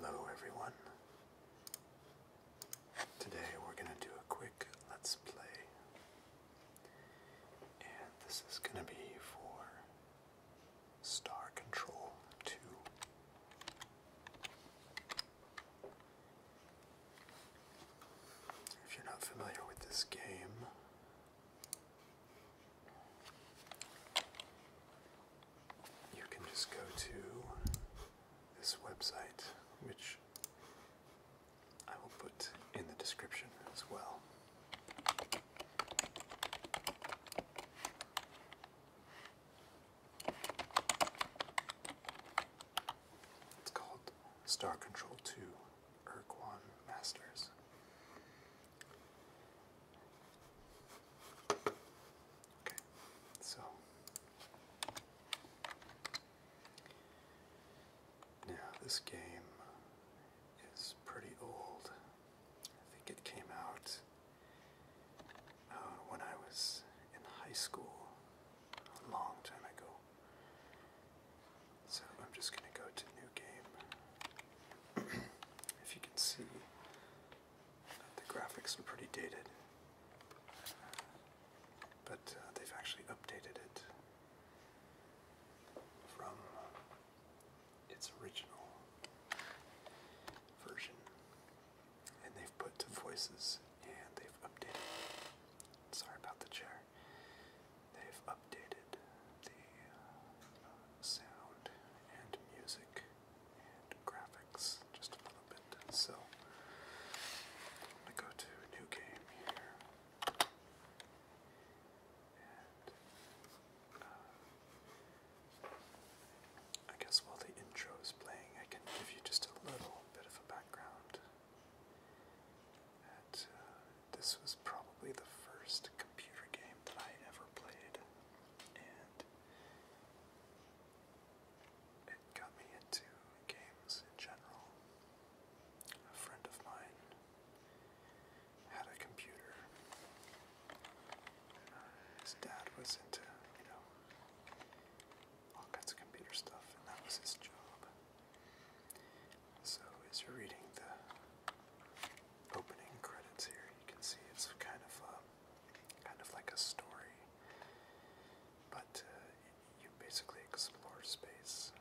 Hello everyone. Today we're going to do a quick let's play. And this is going to be for star control 2. If you're not familiar with this game, you can just go to this website, which I will put in the description as well. It's called Star Control 2 Urquan Masters. Okay, so now this game is pretty old. I think it came out uh, when I was in high school a long time ago. So I'm just going to go to new game. if you can see, the graphics are pretty dated, but uh, they've actually updated it from its original version. And they've put to voices and they've updated. Sorry about the chair. They've updated the uh, sound and music and graphics just a little bit. So I'm going to go to new game here. I guess while the intro is playing, I can give you just a little bit of a background. Uh, this was probably the first computer game that I ever played, and it got me into games in general. A friend of mine had a computer, his dad was into, you know, all kinds of computer stuff, and that was his job. So, as you're reading the opening credits here, you can see it's kind of a, um, kind of like a story, but uh, you basically explore space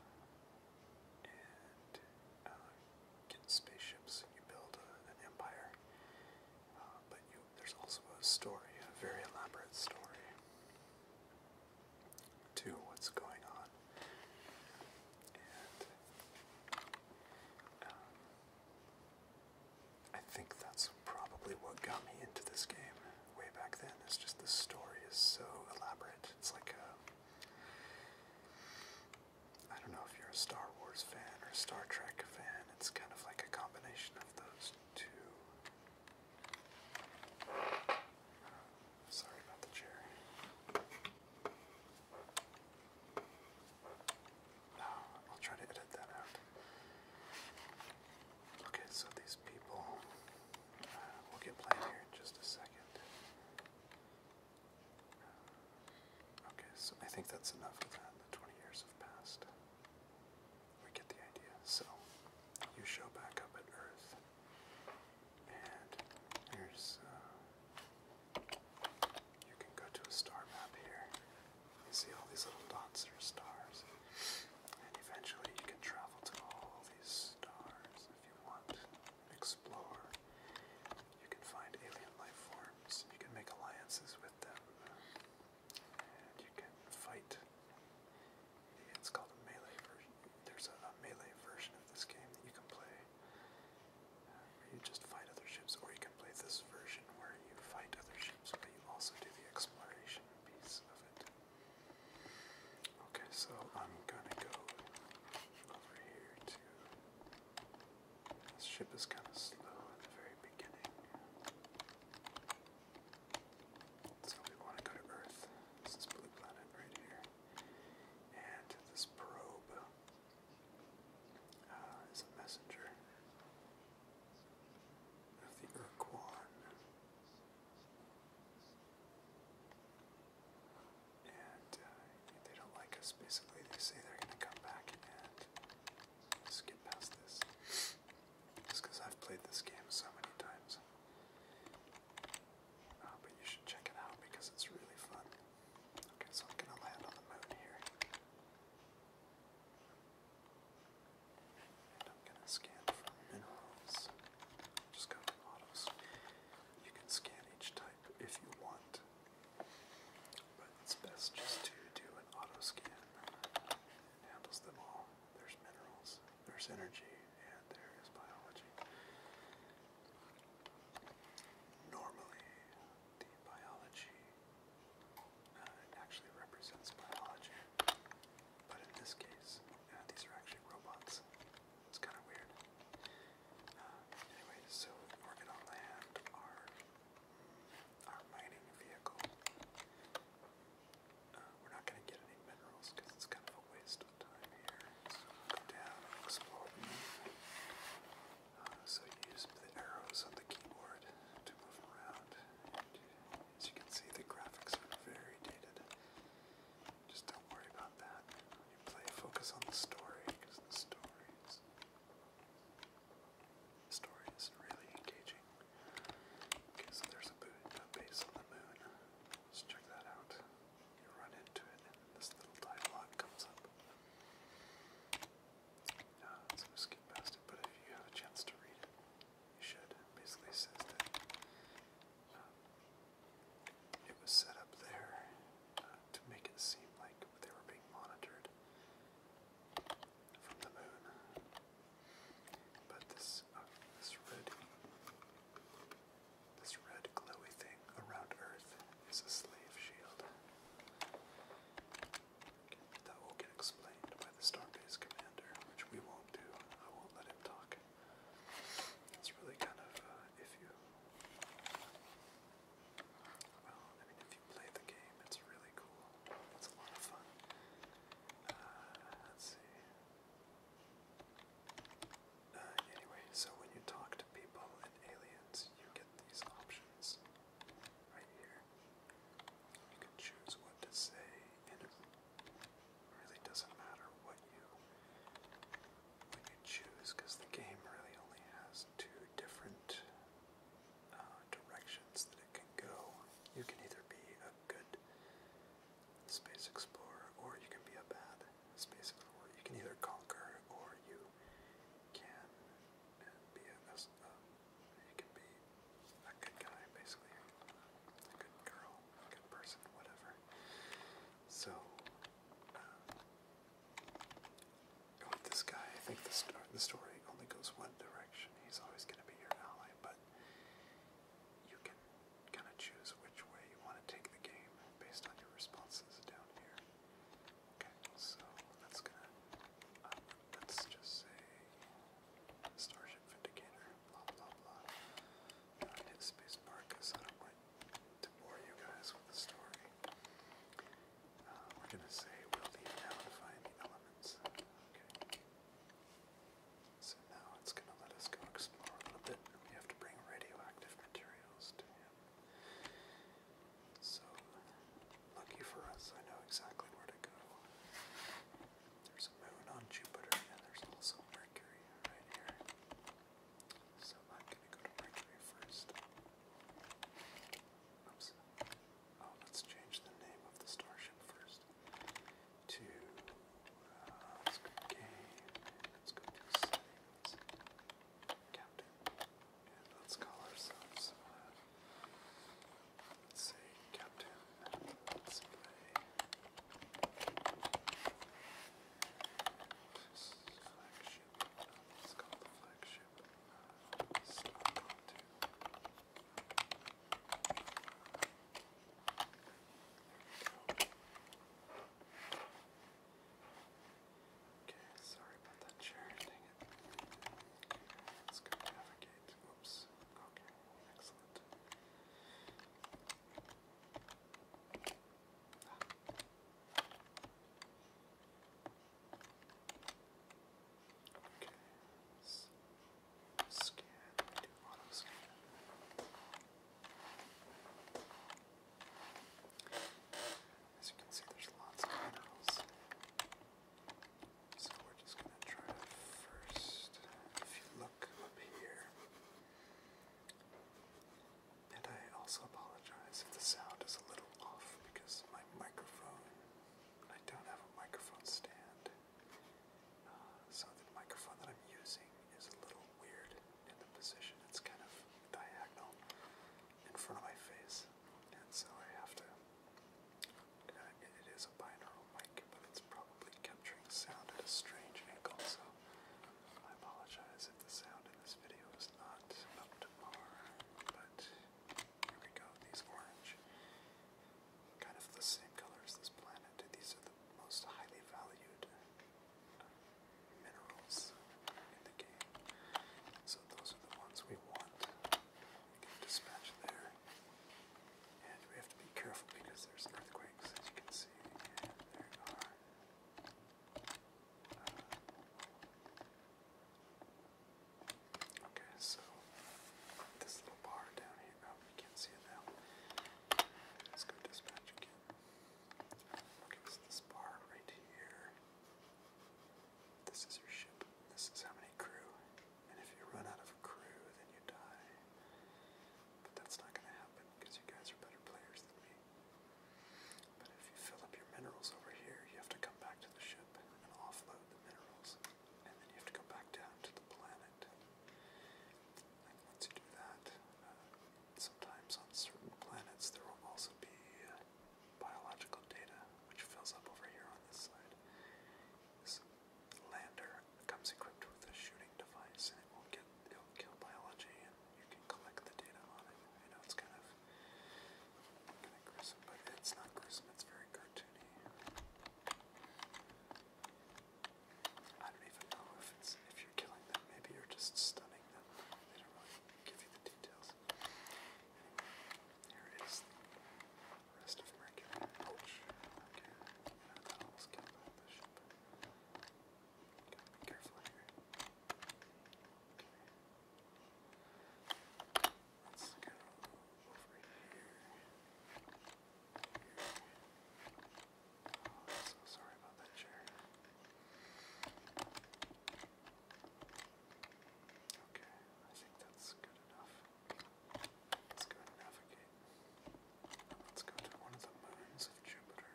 uh, get spaceships, and you build an empire, uh, but you there's also a story, a very elaborate story to what's going on. And um, I think that's probably what got me into this game way back then. It's just the story is so elaborate. It's like a. I don't know if you're a Star Wars fan or Star Trek fan it's kind of like a combination of those two. Uh, sorry about the chair. No, I'll try to edit that out. Okay, so these people. Uh, we'll get playing here in just a second. Okay, so I think that's enough of that. The 20 years have passed. We get the idea. So, you show back up at Earth. And here's, uh, you can go to a star map here. You see all these little dots are stars. And eventually you can travel to all these stars if you want. Explore. You can find alien life forms. You can make alliances with them you can fight. It's called a melee version. There's a, melee version of this game that you can play where uh, you just fight other ships, or you can play this version where you fight other ships, but you also do the exploration piece of it. Okay, so I'm gonna go over here to this ship is kind of slow at the very beginning. So we want to go to Earth. This Blue Planet right here. And this probe uh, is a messenger of the Urquan. And uh, they don't like us, basically. They say they're going to come back and just skip past this. Just because I've played this game so many times. Uh, but you should check it out because it's really fun. Okay, so I'm gonna land on the moon here. I'm gonna scan for minerals. Just go to You can scan each type if you want. But it's best just to do an auto scan. It handles them all. There's minerals, there's energy, and there is biology. Normally, the biology uh, actually represents biology, but in this case, uh, these are actually robots. It's kind of weird. Uh, anyway, so organ on land are our mining vehicle. Uh, we're not going to get any minerals because it's kind of a waste of time here. So go down explore. Uh, so you use the arrows on the keyboard to move around. as you can see, the graphics are very dated. Just don't worry about that. When you play, focus on the story because the story is the story is really engaging. Okay, so there's a, a base on the moon. Let's check that out. You run into it, and this little dialogue comes up. Uh, so we skip but if you have a chance to read it, you should. basically says that um, it was set up there uh, to make it seem like they were being monitored, but this uh, this red this red glowy thing around Earth is a slave shield. That will get explained by the Starbase commander, which we won't do. I won't let him talk. It's really kind of uh, if you well, if you played the game. It's really cool. It's a lot of fun. Uh, let's see. Uh, anyway, so when you talk to people and aliens, you get these options right here. You can choose what to say, and it really doesn't matter what you what you choose, because the game really only has two different uh, directions that it can go. You can either be a good space explorer or you can be a bad space explorer. You can either conquer or you can uh, be a, a uh, you can be a good guy basically, a good girl, a good person, whatever. So. this guy, I think the story only goes one direction. He's always going to be your ally, but you can kind of choose which way you want to take the game based on your responses down here. Okay, so that's going to, uh, let's just say Starship Vindicator, blah blah blah. I hit spacebar because I don't want to bore you guys with the story. Uh, we're going to say we'll leave now to find the element. So now it's going to let us go explore a little bit. We have to bring radioactive materials So, lucky for us, I know exactly where to go. There's a moon on Jupiter, and there's also Mercury right here. So I'm going to go to Mercury first. Oops. Oh, let's change the name of the starship first to uh, Captain, let's call ourselves. Uh, let's say Captain. Let's play. Flagship. Let's call the flagship. Uh, stop. Two. Okay, sorry about that chair, dang it. Let's go navigate. Oops. Okay, excellent. Ah. Okay. So, Scan, As you can see, there's lots of minerals. So we're just going to try to first, if you look up here, and I also apologize if the sound is a little off because my microphone, I don't have a microphone stand. Uh, so the microphone that I'm using is a little weird in the position. It's kind of diagonal in front of my face, and so I have to. Uh, it is a binaural mic, but it's probably capturing sound at a strange angle, so I apologize if the sound in this video is not up to par, but here we go, these orange. Kind of the same color as this planet. These are the most highly valued minerals in the game. So those are the ones we want. We can dispatch there. And we have to be careful because there's earthquakes, as you can see. there are. Uh, Okay, so this little bar down here, oh, you can't see it now. Let's go dispatch again. Okay, this bar right here. This is your ship. This is how many crew. And if you run out of crew, then you die. But that's not going to happen because you guys are better players than me. But if you fill up your minerals over here, you have to come back to the ship and offload the minerals and then you have to go back down to the planet. And once you do that, uh, sometimes on certain planets there will also be uh, biological data, which fills up over here on this side. This lander comes equipped with a shooting device, and it will get it kill biology, and you can collect the data on it. I know it's kind of kind of gruesome, but it's not gruesome. It's very cartoony. I don't even know if it's if you're killing them. Maybe you're just stunning them. They don't really give you the details. Anyway, here is rest of Mercury. Ouch. Okay. You that almost killed the bishop. Gotta be careful here. Okay. Let's go over here. so sorry about that chair. Okay, I think that's good enough. Let's go navigate. let's go to one of the moons of Jupiter.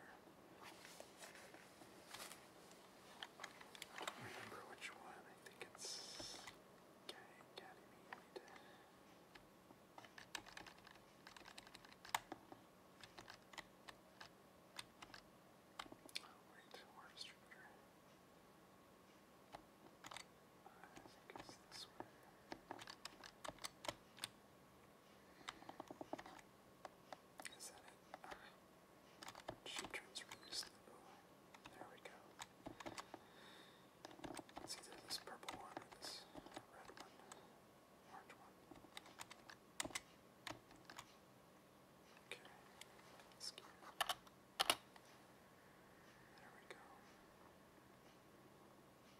remember which one. I think it's Ganymede. Oh wait, more distributor. I think this Is that it? Alright. She turns really There we go. It's either this purple one this red one, orange one. Okay, let There we go.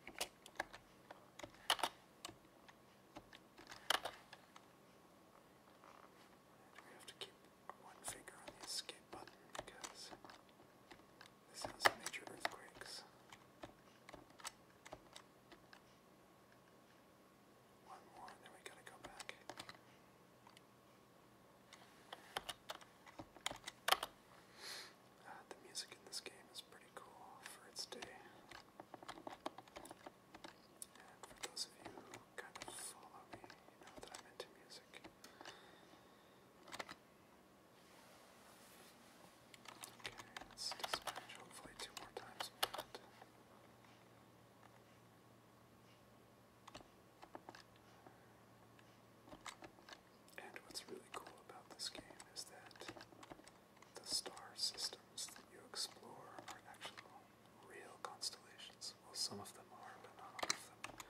we have to keep one finger on the escape button because this is major earthquakes. One more, then we gotta go back. Ah, the music in this game is pretty cool for its day. And for those of you who kind of follow me, you know that I'm into music. Okay, let's dispatch hopefully two more times. And what's really cool about this game is that the star systems that you explore are actually real constellations. Well, some of them are, but not all of them.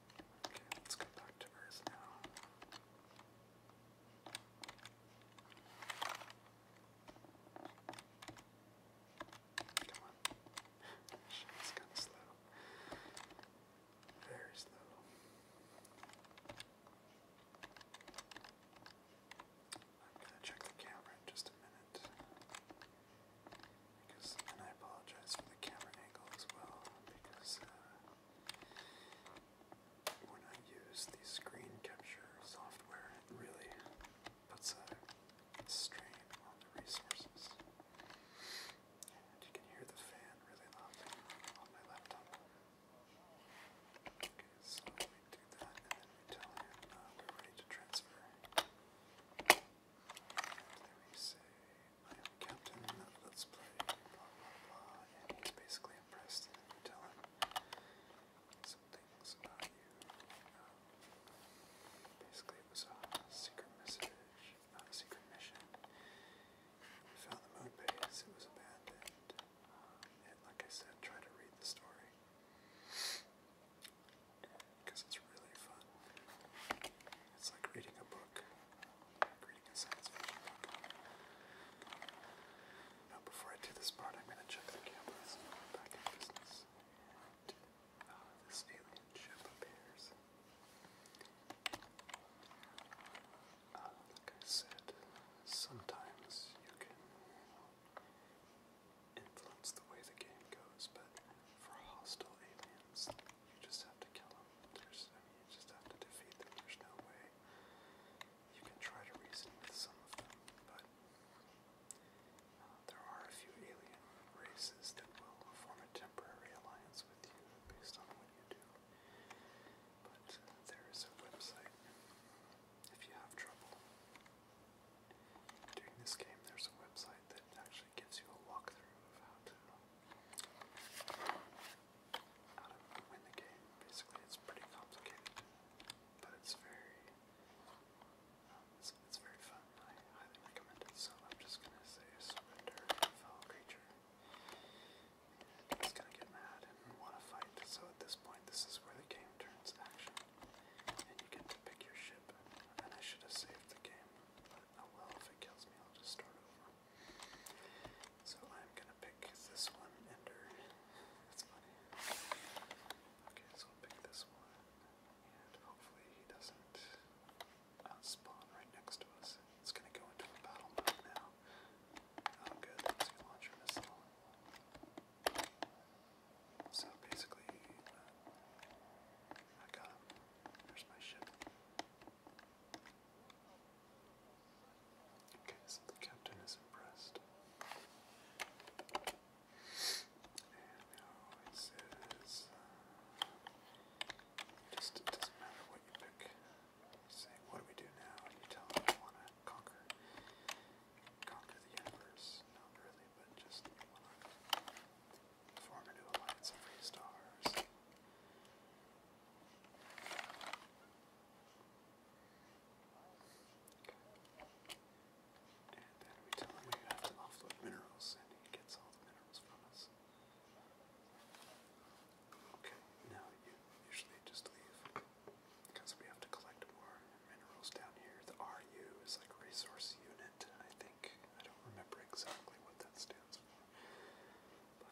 Okay, let's go back to Earth now. Come on. It's kind slow. Very slow. I'm gonna check the camera in just a minute because, and I apologize for the camera angle as well, because uh, when I use the screen capture software, it really puts a strain on the resources. And you can hear the fan really loudly on my laptop. Okay, so we do that, and then we tell him uh, we're ready to transfer. And then we I am captain of Let's Play, blah blah blah, and he's basically impressed and you tell him some things about you. Um, basically, it was a secret message, not a secret mission. We found the moon base, it was abandoned, um, and like I said, try to read the story. Because it's it's really fun. It's like reading a book, before I do this part, I'm going to check the cameras. Uh, this alien ship uh, like I said, sometimes you can influence the way the game goes, but for hostile aliens, you just have to kill him. There's, I mean, you just have to defeat them. There's no way you can try to reason with some of them, but uh, there are a few alien races that will form a temporary alliance with you based on what you do. But uh, there is a website if you have trouble. During this game, there's a website that actually gives you a walkthrough of how to how to win the game. Basically, it's pretty complicated, but it's very um, it's, it's very fun. I highly recommend it. So I'm just gonna say surrender, fellow creature. it's gonna get mad and want to fight. So at this point, this is where the game turns action, and you get to pick your ship. And I should have saved the game, but oh well. If it kills me, I'll just start over. So I'm gonna pick this one, Ender. That's funny. Okay, so I'll pick this one, and hopefully he doesn't uh, spawn right next to us. It's gonna go into battle mode now. Oh good, let's get launcher missile. So basically, uh, I got There's my ship. Okay, so the captain is impressed. And now it says, uh, just it doesn't matter what you pick. You say, what do we do now? you tell them you want to conquer, conquer the universe. Not really, but just Form a new alliance of free stars. And then we tell him we have to offload minerals, and he gets all the minerals from us. Okay, now you usually just leave because we have to collect more minerals down here. The RU is like resource unit, I think. I don't remember exactly what that stands for just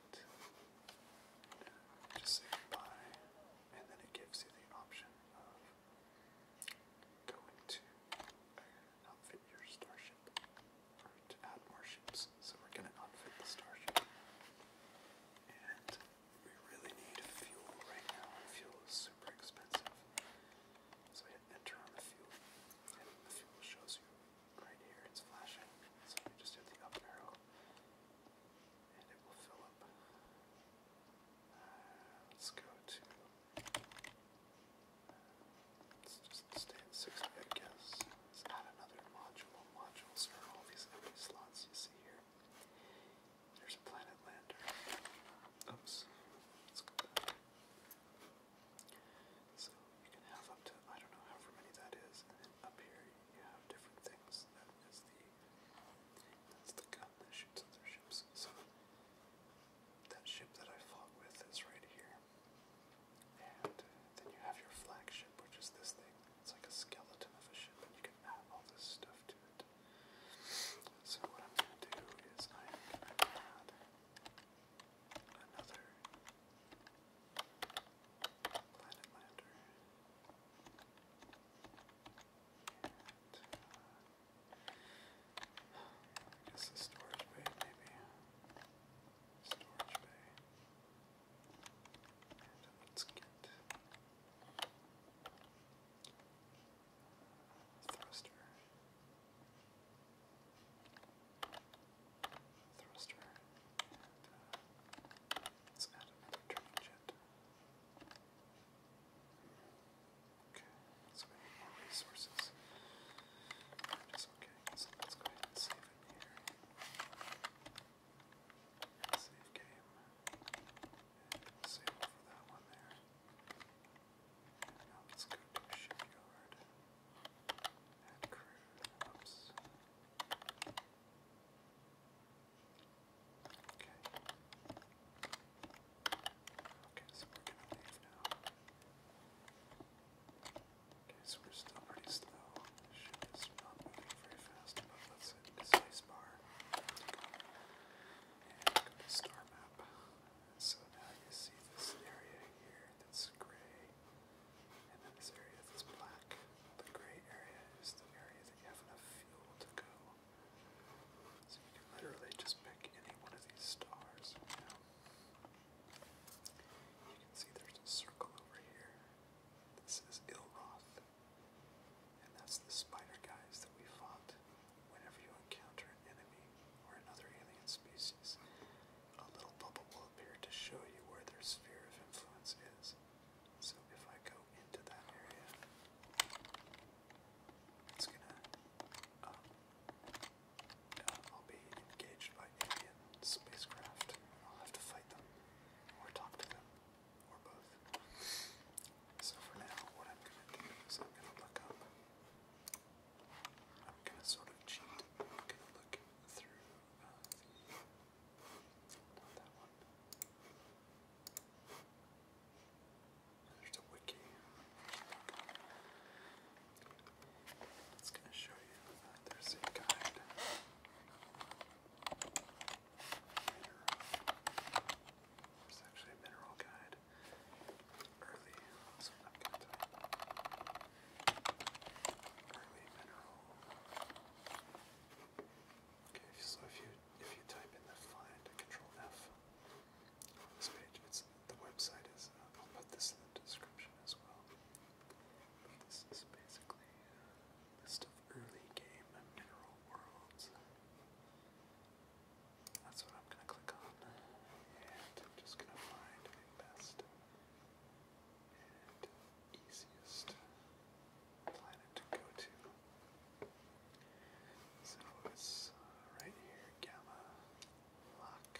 say goodbye, and then it gives you the option of going to outfit your starship, or to add more ships. So we're going to outfit the starship, and we really need fuel right now, fuel is super expensive. So I enter on the fuel, and the fuel shows you right here it's flashing, so just hit the up arrow and it will fill up. Uh, let's go to, uh, let's just stay at 60 I Let's add another module. Modules are all these empty slots you see here. There's a planet lander. Oops. Let's go so you can have up to, I don't know however many that is, up here you have different things. That is the, that's the gun that shoots other ships. So that ship that I fought with is right here. And then you have your flagship, which is this thing. It's like a skeleton of a ship, and you can add all this stuff to it. So what I'm going to do is I'm going to add another planet uh, I guess a storage bay, maybe. Storage bay. Uh, let's get uh, thruster thruster, and turning jet. Okay, so we need more resources. Which okay, so let's go ahead and save here. Save game. save over that one there. now let's go to shipyard. Add crew. Oops. Okay. Okay, so we're gonna leave now. Okay, so we're still pretty slow. The ship is not moving very fast, but let's hit the space bar. And go to star map. So now you see this area here that's gray. And then this area that's black, the gray area is the area that you have enough fuel to go. So you can literally just pick any one of these stars. You, know? you can see there's a circle over here. This is Ilroth. And that's the spider guys that we fought. Whenever you encounter an enemy or another alien species, a little bubble will appear to show you where their sphere of influence is. So if I go into that area, it's gonna. Um, I'll be engaged by alien spacecraft. I'll have to fight them, or talk to them, or both. So for now, what I'm gonna do is I'm gonna look up. I'm gonna sort of cheat. I'm gonna look through not that one. There's a wiki. It's going to show you there's a guide. There's actually a mineral guide. Early, so i Okay, so if you if you type in the find control F on this page, it's the website is I'll put this in the description as well. this is basically a list of early game and mineral worlds. That's what I'm gonna click on. And I'm just gonna find the best easiest planet to go to. So it's uh, right here, Gamma Lock,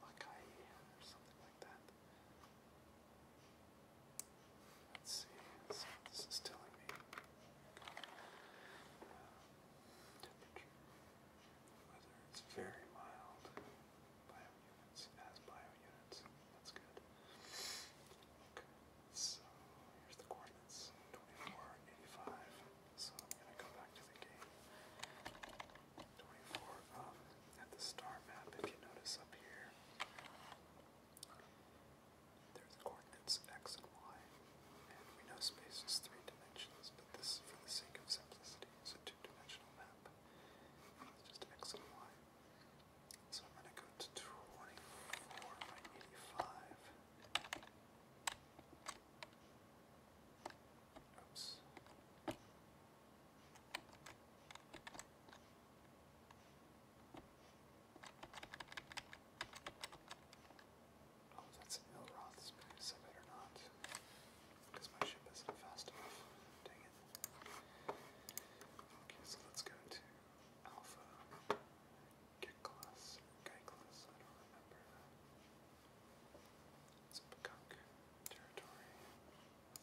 Lakai, or something like that. Let's see, so this is telling me uh, temperature, whether it's very mild, Bio units. It has bio units. That's good. Okay. So here's the coordinates. 24, 85. So I'm gonna go back to the game. 24 up um, at the star map, if you notice up here. There's the coordinates x and y. And we know space is three dimensions, but this is for the sake of simplicity. It's a two-dimensional map. It's just x and y. So I'm going to go to 24 by Oops. Oh, that's an Ilroth space. I better not. Because my ship isn't fast enough. Dang it. Okay, so let's go to Alpha. Geklas. Geklas, I don't remember. It's a peacock territory.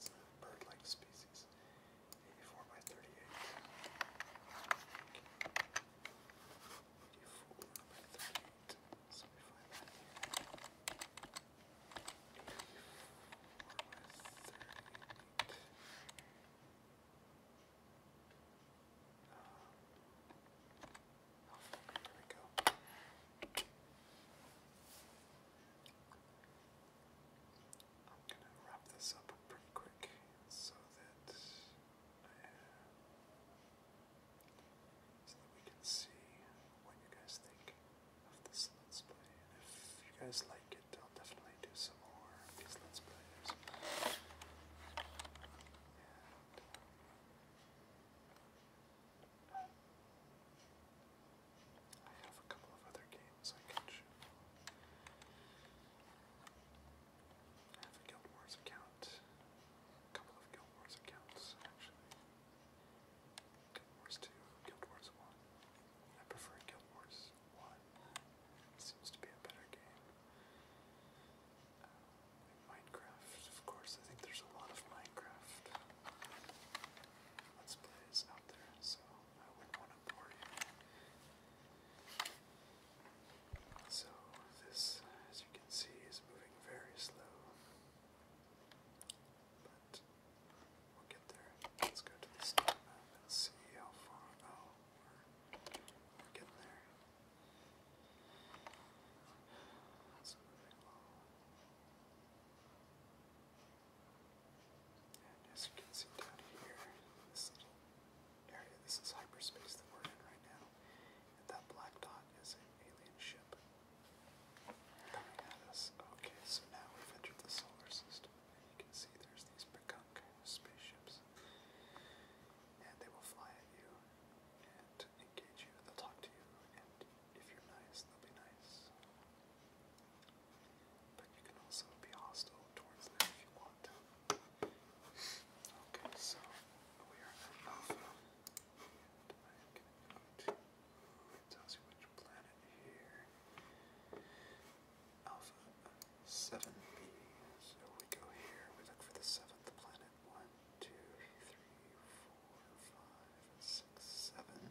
It's a bird-like species. 84 by 38. 84 by 38. So we find that here go. I'm gonna wrap this up pretty quick so that we can see what you guys think of this Let's Play. And if you guys like it, I'll definitely do some more of Let's Plays. And I have a couple of other games I can show. I have a Guild Wars account, a couple of Guild Wars accounts actually. Guild Wars 2, Guild Wars 1. I prefer Guild Wars 1. seems to be a better game. Uh, Minecraft, of course. I think there's a lot of Minecraft Let's Plays out there, so I wouldn't want to bore you. So, this, as you can see, is moving very slow we'll get there. Let's go to the star map and see how far. we're, getting there. That's moving along. as you can see down here, this little area, this is hyperspace that we're in right now. And that black dot is an alien ship. Dynadus. Okay, so now we've entered the solar system. And you can see there's these Pekanka spaceships. And they will fly at you and engage you. They'll talk to you. And if you're nice, they'll be nice. But you can also be hostile towards them if you want Okay, so we are at Alpha. It tells you which planet here. Alpha 7b. So we go here, we look for the seventh planet. One, two, three, four, five, six, seven.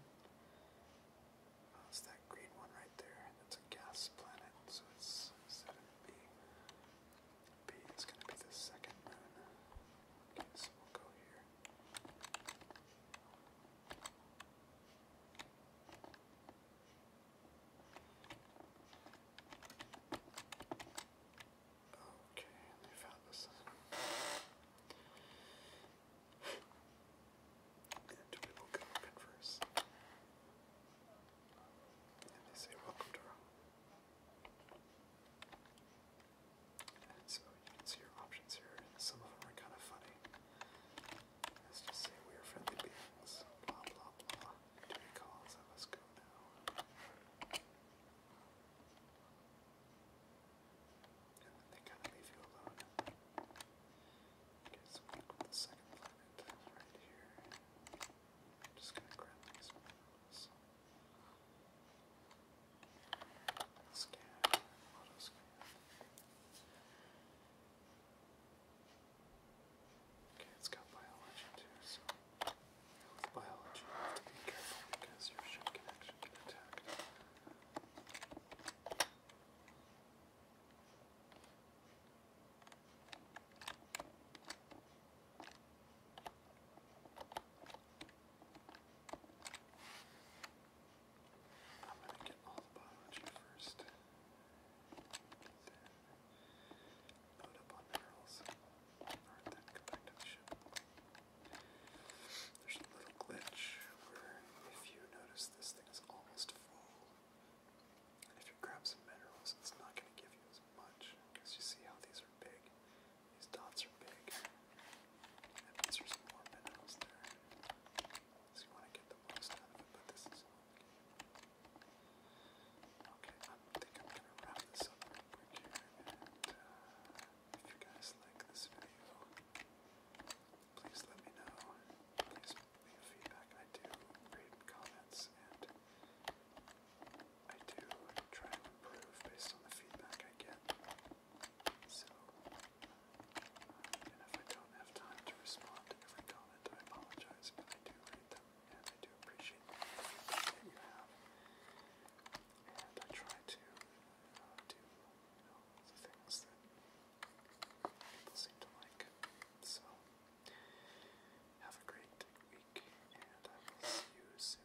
Oh, it's that green one right there. That's a gas planet, so it's 7b. B is going to be the second moon. Okay, so we'll go here. Okay, and they found this. and we will go converse. And they say, Welcome to you can see your options here, some of them are kind of funny. Let's just say we are friendly beings, blah blah blah. Do we call us? go now. they kind of leave you alone. Okay, so we go the second planet right here. I'm just gonna grab these ones. Scan, auto scan. Okay, it's got biology too, so with biology you have to be careful because your ship can actually get attacked. Okay, I'm going to get all the biology first. Then load up on minerals. then go back to the ship. There's a little glitch where if you notice this thing is almost full. And if you grab some minerals, it's not going to give you as much. Because you see how these are big. These dots are big. That means there's more minerals there. So you want to get the most out of it, but this is all the game. Okay, think I'm going to wrap this up real here, uh, if you guys like this video, please let me know. Please leave feedback. I do read comments, and I do try to improve based on the feedback I get. So, and if I don't have time to respond to every comment, I apologize, but I do read them and I do appreciate the feedback you have. And I try to uh, do you uh, uh, the things that people seem to like. So, have a great week, and I will see you soon.